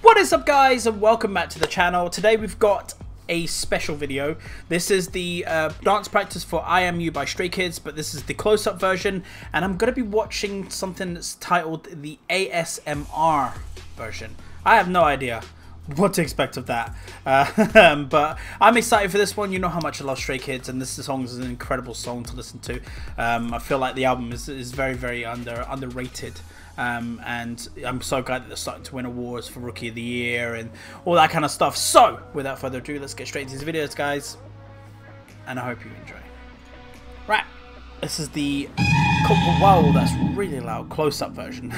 What is up guys and welcome back to the channel. Today we've got a special video. This is the uh, dance practice for I Am You by Stray Kids, but this is the close up version, and I'm going to be watching something that's titled the ASMR version. I have no idea what to expect of that. Uh, but I'm excited for this one. You know how much I love Stray Kids, and this song is an incredible song to listen to. Um, I feel like the album is, is very, very under underrated. Um, and I'm so glad that they're starting to win awards for Rookie of the Year and all that kind of stuff. So, without further ado, let's get straight into these videos, guys. And I hope you enjoy. Right, this is the... Wow, that's really loud. Close-up version.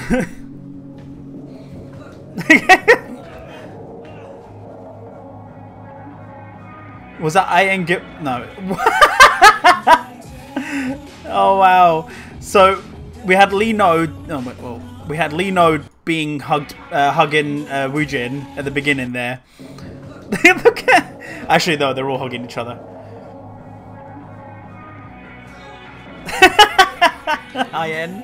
Was that I and No. Oh wow. So we had Lino. Oh well, we had Lino being hugged, uh, hugging uh, Wu Jin at the beginning there. Actually, though, they're all hugging each other. I am.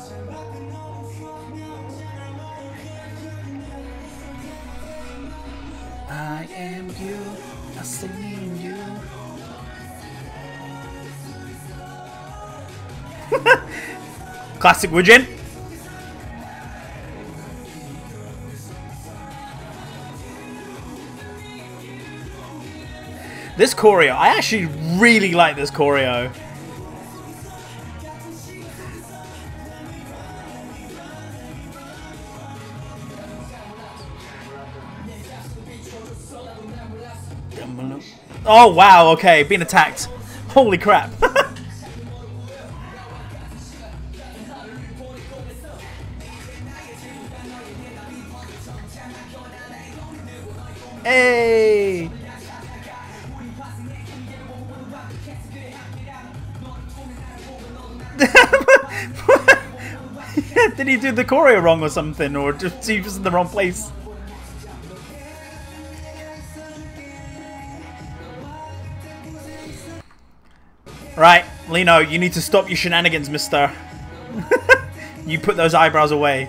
I am you, Classic Wujin. This choreo, I actually really like this choreo. Oh wow, okay, being attacked. Holy crap. Hey! Did he do the choreo wrong or something? Or just he was in the wrong place? Right, Lino, you need to stop your shenanigans, mister. you put those eyebrows away.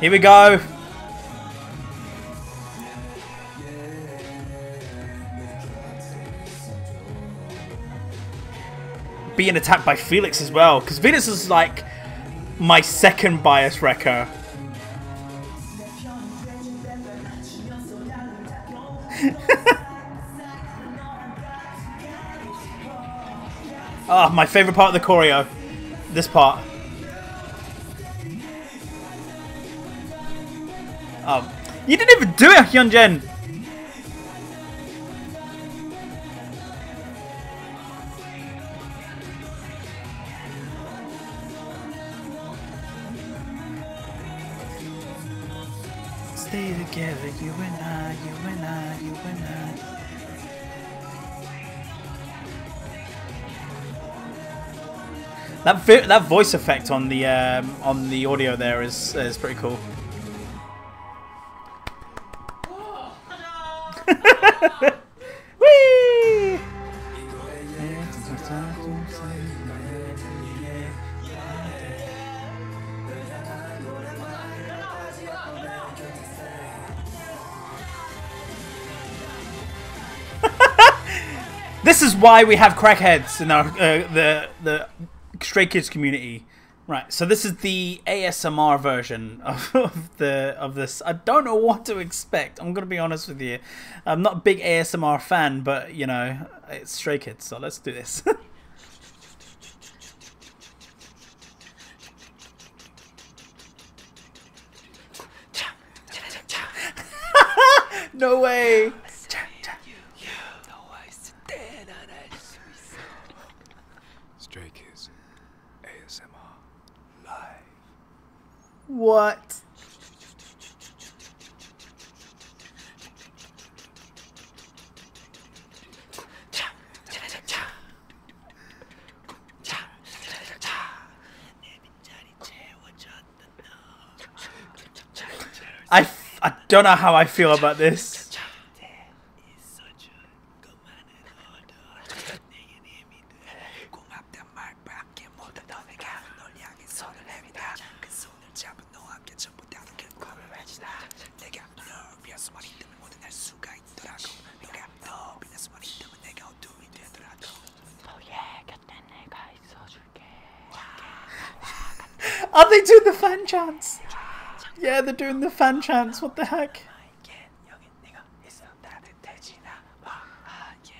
Here we go. Being attacked by Felix as well, because Venus is like my second bias wrecker. Ah, my favourite part of the choreo. This part. Oh. You didn't even do it, Hyunjin! Stay together, you and I, you and I, you and I. That that voice effect on the um, on the audio there is is pretty cool. this is why we have crackheads in our uh, the the stray kids community. Right, so this is the ASMR version of, of the of this. I don't know what to expect. I'm gonna be honest with you. I'm not a big ASMR fan, but you know, it's Stray Kids, so let's do this. no way. Stray ASMR live. What? I, I don't know how I feel about this. 답답 말밖에 못하던 내가 널 향해 손을 내민다 그 손을 잡은 너와 함께 전부 다른 결과를 외치다 내가 널 비어서만 있다면 모두 날 수가 있더라고 내가 너 빛나서만 있다면 내가 어둠이 되더라고 너의 곁에 내가 있어줄게 Are they doing the fan chants? Yeah, they're doing the fan chants. What the heck?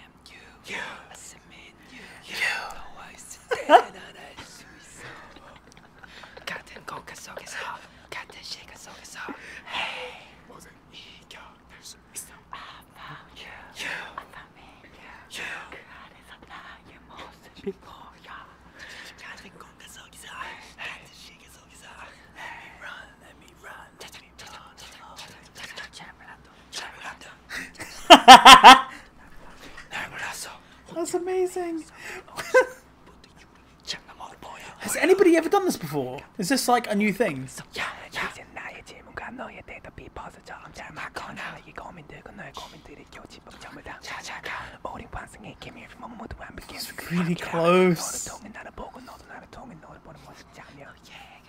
am you. You. I submit you. You. Oh, no, I submit and I suicide. 같은 공간속에서 같은 시간 속에서 Hey. 모든 이겨낼 수 있어. I found you. You. I found me. You. you. 그 안에서 나의 모습이 보여. 같은 공간속에서 같은 시간 속에서 Let me run. Let me run. That's amazing. Has anybody ever done this before? Is this like a new thing? Yeah, yeah. It's really close. Oh,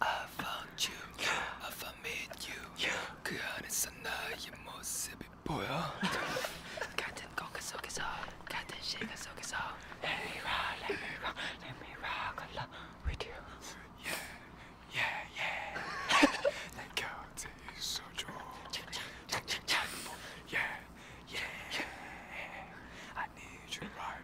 I found you, I found you. 그 안에서 나의 모습이 보여. 같은 공간 속에서, 같은 시간 속에서. Let me rock, let me rock, let me rock along with you. Yeah, yeah, yeah. 내 곁에 있어줘. 착착착착착. Yeah, yeah, yeah. I need you right.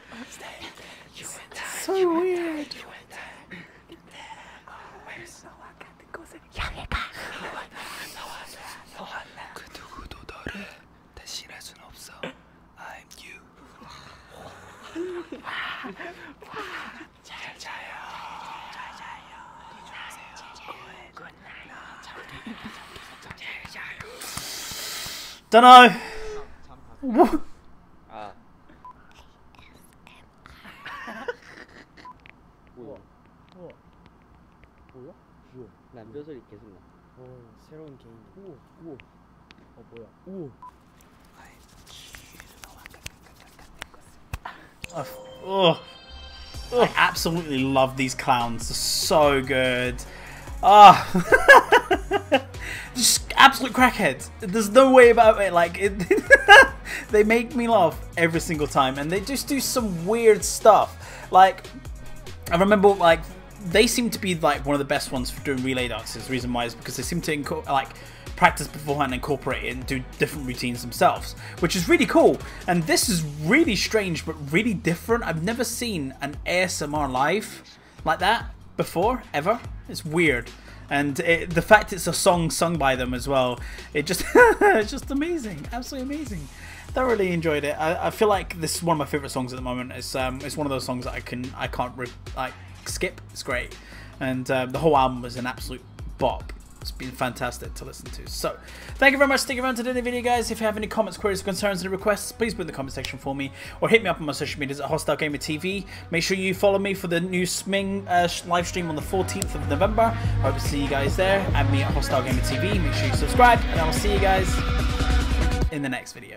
so weird. 향해가. 그 누구도 너를 대신할 순 없어. I'm you. 잘 자요. 잘 자요. 잘 자요. 잘 자요. Dunno. What? Uh. 뭐야? 우와. 뭐야? 뭐야? 남자 소리 계속 나. 오, 새로운 개인. 오, 오. 어 뭐야? 오. Oh, oh. I absolutely love these clowns. They're so good. Ah. Oh. just absolute crackheads. There's no way about it. Like, they make me laugh every single time, and they just do some weird stuff. Like, I remember like they seem to be like one of the best ones for doing relay dances. The reason why is because they seem to like practice beforehand, incorporate it, and do different routines themselves, which is really cool. And this is really strange, but really different. I've never seen an ASMR live like that before ever. It's weird, and the fact it's a song sung by them as well, it just it's just amazing, absolutely amazing. Thoroughly enjoyed it. I, feel like this is one of my favorite songs at the moment. It's um it's one of those songs that I can I can't like skip. It's great, and uh, the whole album was an absolute bop. It's been fantastic to listen to. So, thank you very much for sticking around to the video, guys. If you have any comments, queries, concerns, and requests, please put in the comment section for me, or hit me up on my social medias at Hostile Gamer Make sure you follow me for the new Sming uh, live stream on the 14th of November. I hope to see you guys there. Add me at Hostile Gamer Make sure you subscribe, and I will see you guys in the next video.